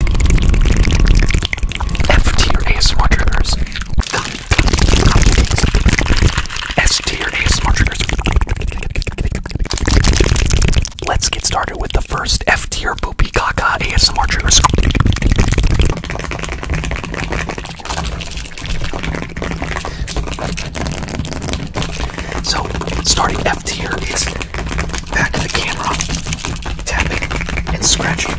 F-tier ASMR triggers. S-tier ASMR triggers. Let's get started with the first F-tier Boopy Gaga ASMR triggers. So, starting F tier is back of the camera, tapping and scratching.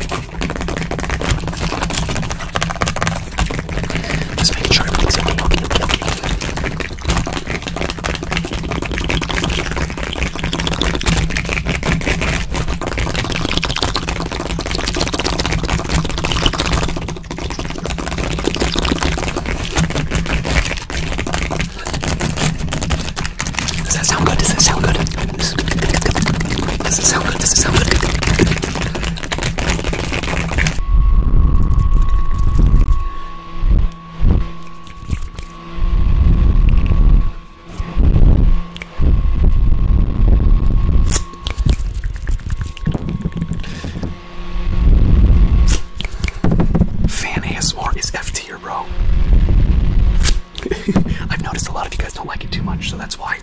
Just making sure everything's okay, okay, okay, okay. Does that sound good? Does that sound good? Does it sound good? Does it sound good? Fan ASMR is FT here, bro. I've noticed a lot of you guys don't like it too much, so that's why.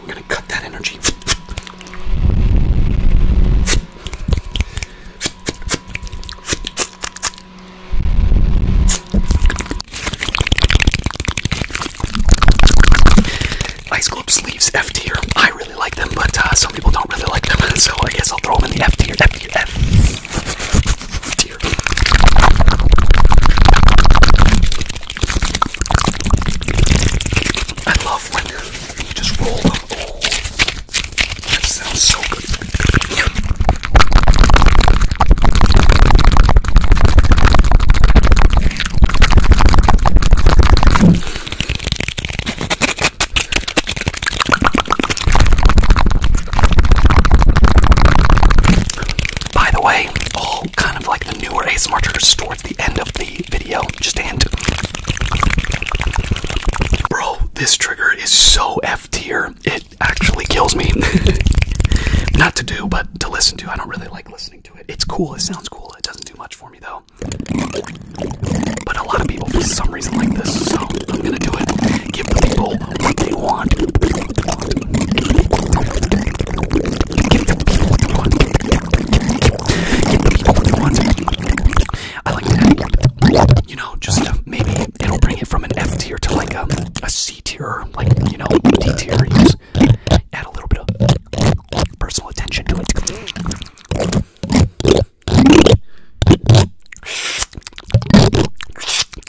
We're gonna cut that energy. Ice Globe sleeves F tier. I really like them, but uh, some people don't really like them, so I guess I'll throw them in the F tier. F tier. F dear. I love when you just roll them. Oh, that sounds so good. By the way, all kind of like the newer Ace triggers towards the end of the video. Just a hint. Bro, this trigger is so F tier. It actually kills me. Not to do, but to listen to. I don't really like listening to it. It's cool. It sounds cool. It doesn't do much for me though. But a lot of people for some reason like this, so I'm gonna do it. Give the people what they want. Give the people what they want. I like that. You know, just uh, maybe it'll bring it from an F tier to like a, um, a C tier, like, you know, D tier. just add a little bit of personal attention to it.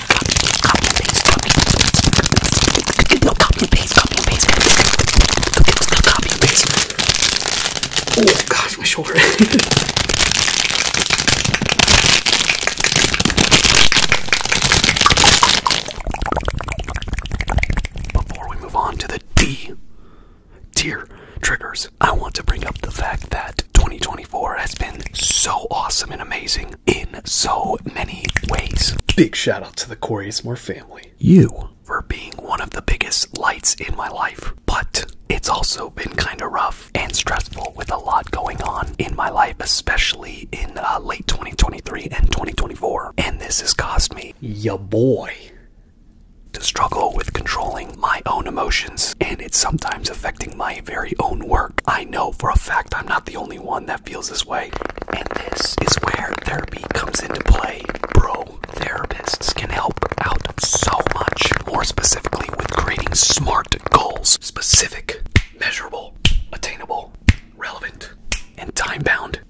copy and Oh gosh, my shoulder. Before we move on to the D tier triggers, I want to bring up the fact that 2020 2024 has been so awesome and amazing in so many ways. Big shout out to the Corey Smore family. You for being one of the biggest lights in my life, but it's also been kind of rough and stressful with a lot going on in my life, especially in uh, late 2023 and 2024. And this has cost me, ya boy, to struggle with controlling my own emotions, and it's sometimes affecting my very own work. I know for a fact I'm not the only one that feels this way. And this is where therapy comes into play, bro. Therapists can help out so much, more specifically with creating smart goals specific, measurable, attainable, relevant, and time bound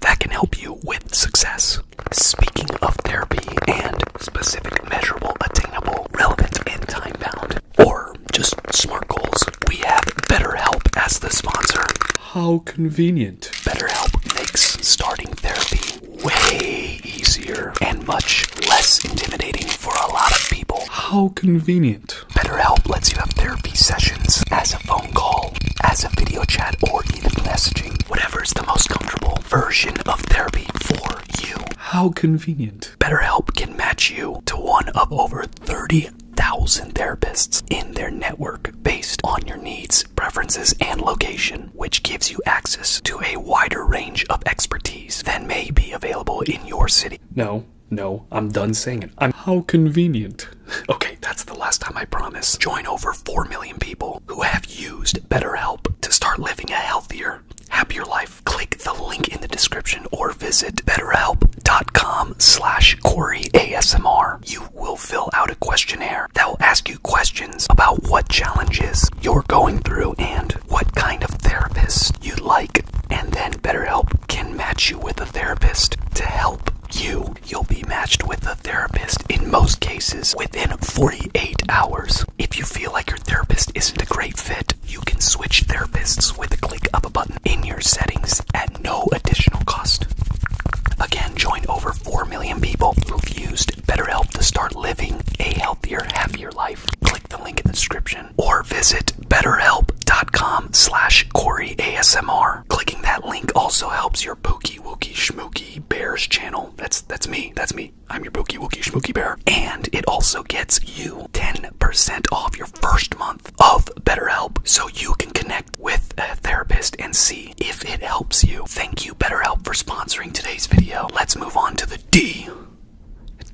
that can help you with success. Speaking of therapy and specific, measurable, attainable, relevant, and time bound, or just smart goals, we have BetterHelp as the sponsor. How convenient. BetterHelp makes starting therapy way easier and much less intimidating for a lot of people. How convenient. BetterHelp lets you have therapy sessions as a phone call, as a video chat, or even messaging. Whatever is the most comfortable version of therapy for you. How convenient. BetterHelp can match you to one of over 30,000 therapists in their network based on your needs, preferences, and location, which gives you access to a wider range of expertise than may be available in your city. No. No, I'm done saying it. how convenient. Okay, that's the last time I promise. Join over 4 million people who have used BetterHelp to start living a healthier, happier life click the link in the description or visit betterhelp.com slash Corey You will fill out a questionnaire that will ask you questions about what challenges you're going through and what kind of therapist you'd like. And then BetterHelp can match you with a therapist to help you. You'll be matched with a therapist in most cases within 48 hours. If you feel like your therapist isn't a great fit, you can switch therapists with a click of a button in your settings at no additional cost. Again, join over 4 million people who've used BetterHelp to start living a healthier, happier life. Click the link in the description or visit betterhelp.com slash CoreyASMR. Clicking that link also helps your Pookie Wookie Schmookie Bears channel. That's that's me. That's me. I'm your Pookie Wookie Schmookie Bear. And it also gets you 10 percent off your first month of BetterHelp so you can connect with a therapist and see if it helps you. Thank you, BetterHelp, for sponsoring today's video. Let's move on to the D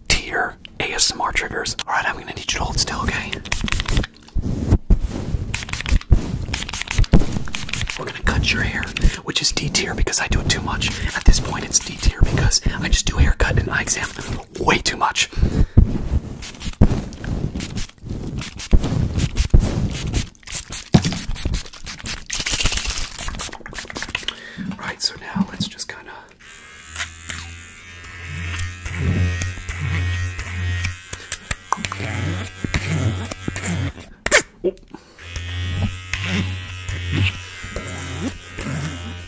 tier ASMR triggers. Alright, I'm gonna need you to hold still, okay? We're gonna cut your hair, which is D tier because I do it too much. At this point, it's D. 50 because I just do haircut and eye exam way too much. Right, so now let's just kind of.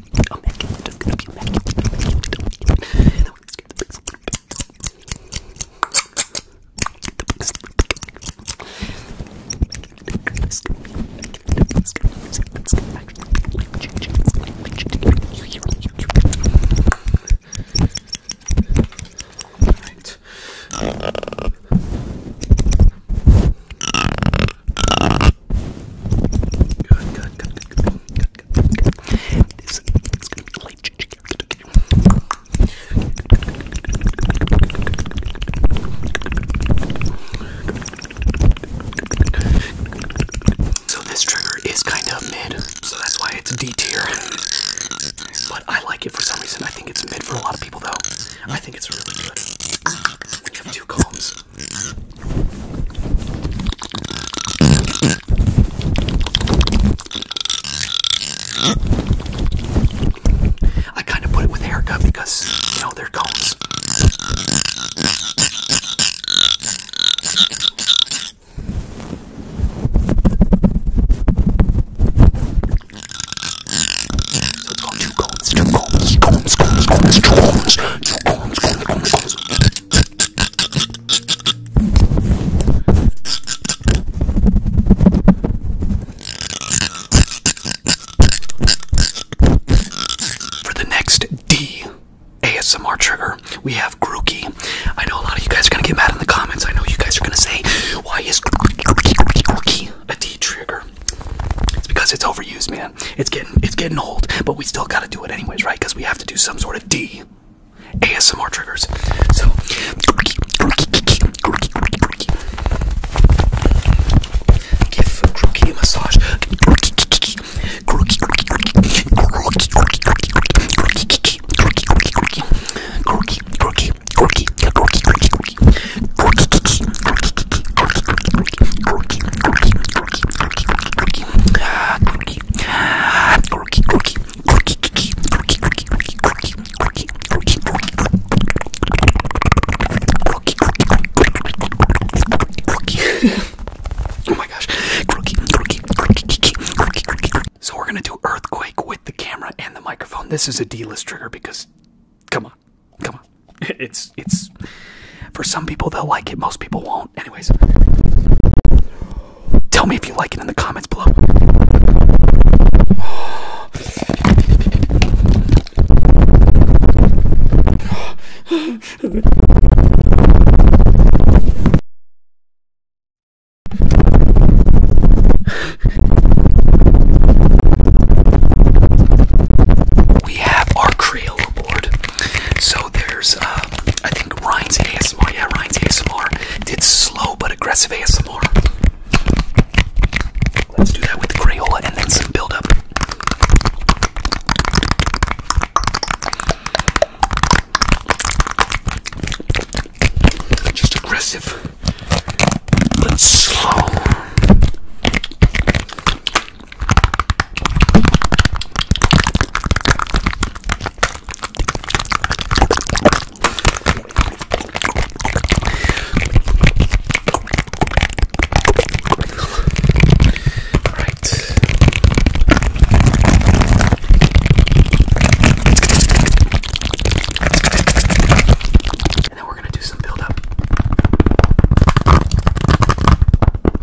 Oh, man, you look good. You man, you Alright. Good, good, good, good, good, good, this is gonna be light changing. So this trigger is kind of mid, so that's why it's D tier. But I like it for some reason. I think it's mid for a lot of people though. I think it's really good. We have two combs. I kind of put it with haircut because, you know, they're cones. So it's called two cones, two cones, cones, cones, cones, cones, two cones, cones, cones, cones. For the next D ASMR trigger, we have grooky. I know a lot of you guys are gonna get mad in the comments. I know you guys are gonna say, why is grooky a D trigger? It's because it's overused, man. It's getting it's getting old, but we still gotta do it anyways, right? Because we have to do some sort of D ASMR triggers. So give Grookey a massage. Oh so we're gonna do earthquake with the camera and the microphone. This is a D-list trigger because come on. Come on. It's it's for some people they'll like it, most people won't. Anyways, tell me if you like it in the comments below. We have our Crayola board. So there's, uh, I think Ryan's ASMR, yeah, Ryan's ASMR did slow but aggressive ASMR. Let's do that with Crayola and then some buildup. Just aggressive, but slow. Alright. And then we're gonna do some build up.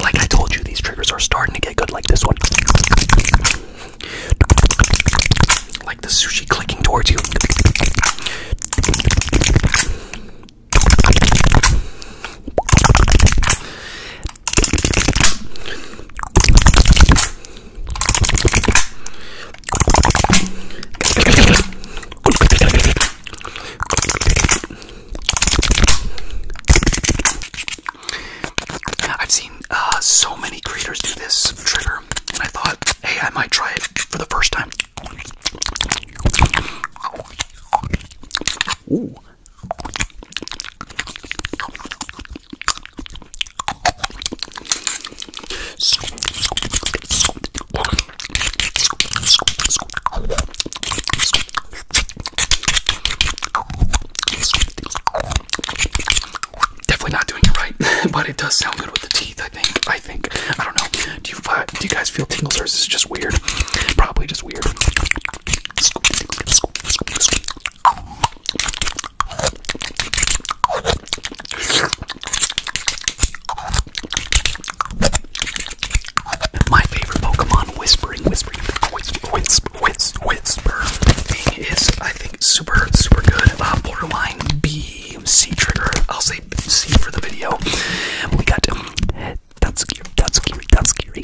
Like I told you, these triggers are starting to get good, like this one like the sushi clicking towards you. I've seen uh, so many creators do this trigger, I thought, hey, I might try it for the first time. Definitely not doing it right, but it does sound good with the teeth. I think. I think. I don't know. Do you uh, do you guys feel tingles or is this just weird? Probably just weird. My favorite Pokemon whispering, whispering, whisper, whisper, whisper, thing is, I think, super, super good. Uh, borderline B medium C trigger. I'll say C for the video. We got um, that's scary, that's scary, that's scary,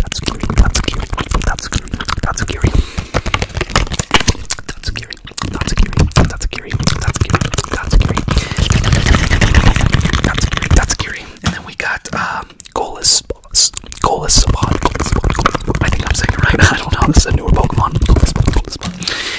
that's scary, that's scary, that's scary, that's scary, that's scary, that's scary, that's scary, that's scary, that's scary, that's scary, that's scary. And then we got um Golas, Golas, Sabot, I think I'm saying it right. I don't know. This is a newer Pokemon. Golas, Golas,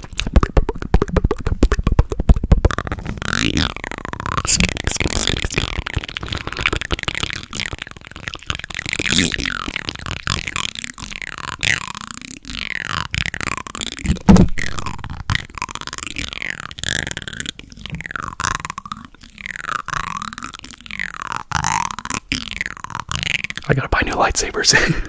I gotta buy new lightsabers.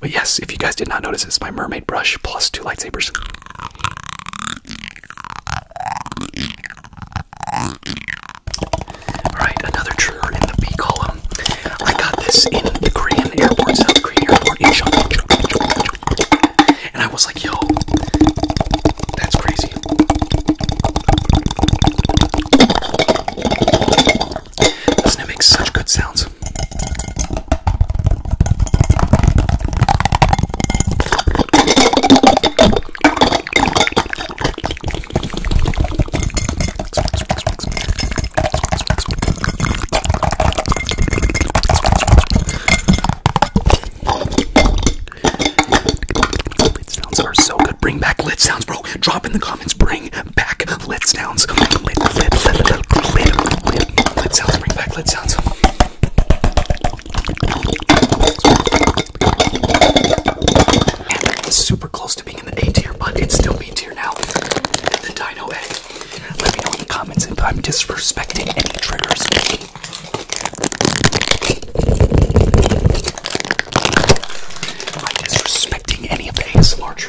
But yes, if you guys did not notice, it's my mermaid brush plus two lightsabers. Alright, another trigger in the B column. I got this in the Korean airport, South Korean airport in And I was like, yo, that's crazy does make such good sounds? Lid sounds are so good. Bring back lid sounds, bro. Drop in the comments. Bring back lit sounds. Lit, lit, lit, sounds. Bring back lit sounds. super close to being in the A tier, but it's still B tier now. The Dino A. Let me know in the comments if I'm disrespecting any triggers. Am disrespecting any of the ASMR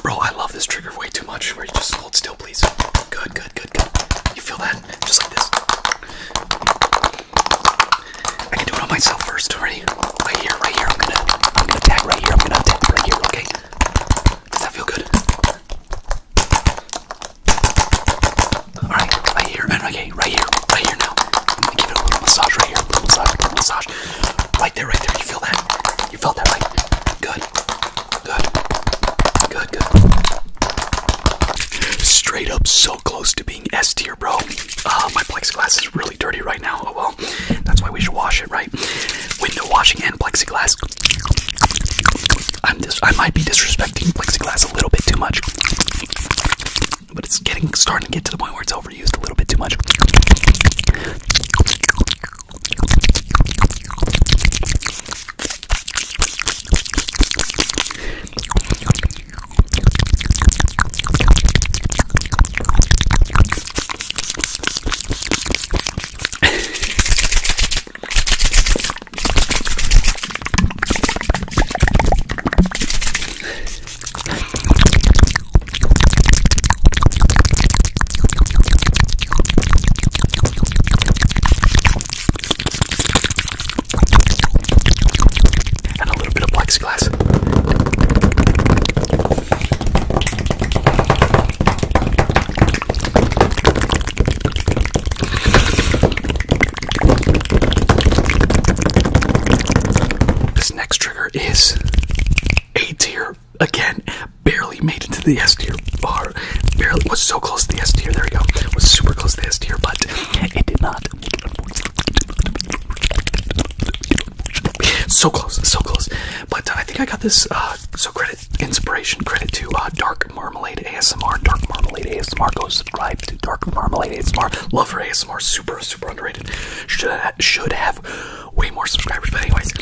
Bro, I love this trigger way too much. Where you just hold still, please. Good, good, good, good. You feel that? Just like this. I can do it on myself first. Ready? Right here, right here. I'm gonna, I'm gonna tag right here. I'm gonna tag right here. Okay. Does that feel good? Alright, right here, and right here, right here, now. give it a little massage right here, massage, massage. Right there, right there. You feel that? You felt that, right? Good. Good. Good, good. Straight up so close to being S tier, bro. Uh, my plexiglass is really dirty right now. Oh well. That's why we should wash it, right? Window washing and plexiglass. I'm dis I might be disrespecting plexiglass a little bit too much, but it's getting starting to get to the point where it's overused a little bit too much and a little bit of plexiglass. This next trigger is A tier. Again, barely made into the S tier bar. Barely was so close to the S tier. There we go. Was super close to the S tier, but it did not. So close, so close. But uh, I think I got this. Uh, so credit inspiration credit to uh, Dark Marmalade ASMR. Dark Marmalade ASMR. Go subscribe to Dark Marmalade ASMR. Love her ASMR. Super, super underrated. Should have, should have way more subscribers. But anyways,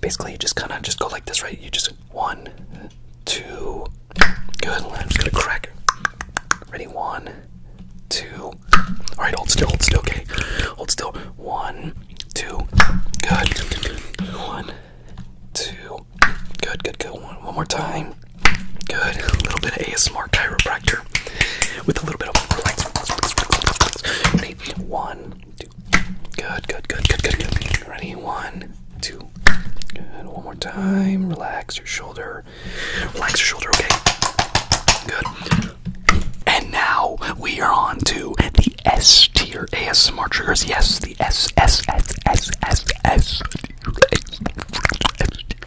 basically you just kind of just go like this, right? You just one, two. Good. I'm just gonna crack. Ready? One, two. All right. Hold still. Hold still. Okay. Hold still. One, two, good, one, two, good, good, good. One, one more time, good. A little bit of ASMR chiropractor with a little bit of Ready? One, two, good, good, good, good, good, good. Ready? One, two, good. One more time. Relax your shoulder. Relax your shoulder. Okay. Good. And now we are on to the S tier ASMR triggers. Yes, the S S S S S S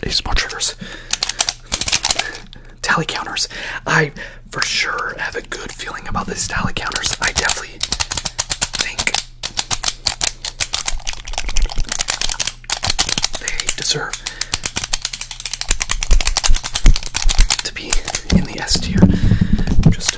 ASMR triggers. Tally counters. I for sure have a good feeling about these tally counters. I definitely think they deserve to be extremely S tier. Just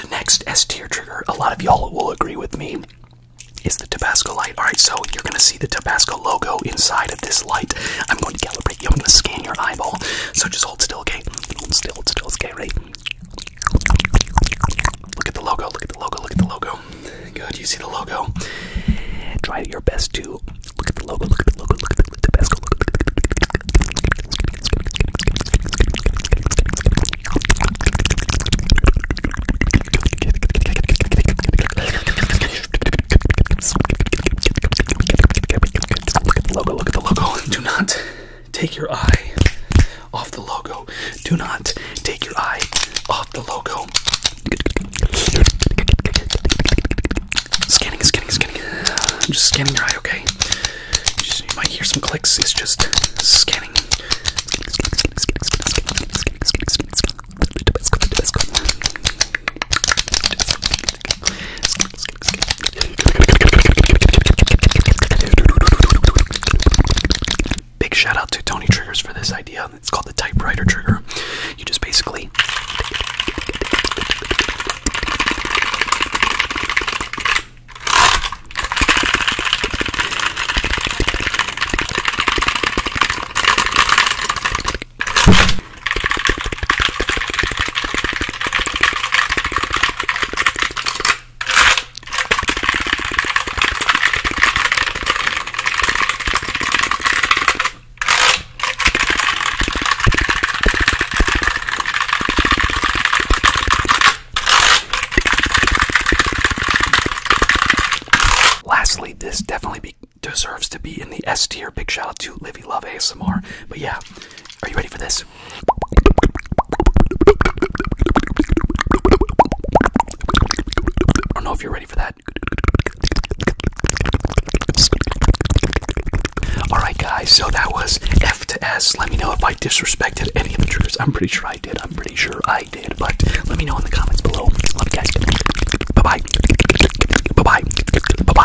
the next S tier trigger, a lot of y'all will agree with me, is the Tabasco light. Alright, so you're going to see the Tabasco logo inside of this light. I'm going to calibrate but I'm gonna scan your eyeball. So just hold still, okay? Hold still, hold still, okay, ready? Look at the logo, look at the logo, look at the logo. Good, you see the logo. Try your best to look at the logo, look at the logo, look at the look at the best look at the look at look at the logo, look at the logo. Do not take your eye off the logo. Do not take your eye off the logo. Scanning, scanning, scanning. I'm just scanning your eye, okay? You, just, you might hear some clicks. It's just scanning. Big shout out to Tony Triggers for this idea. It's called the typewriter trigger. You just basically Lastly, this definitely deserves to be in the S tier. Big shout out to Livy Love ASMR. But yeah, are you ready for this? I don't know if you're ready for that. Alright, guys, so that was F to S. Let me know if I disrespected any of the triggers. I'm pretty sure I did. I'm pretty sure I did. But let me know in the comments below. Love you guys. Bye bye. Bye bye. Bye bye.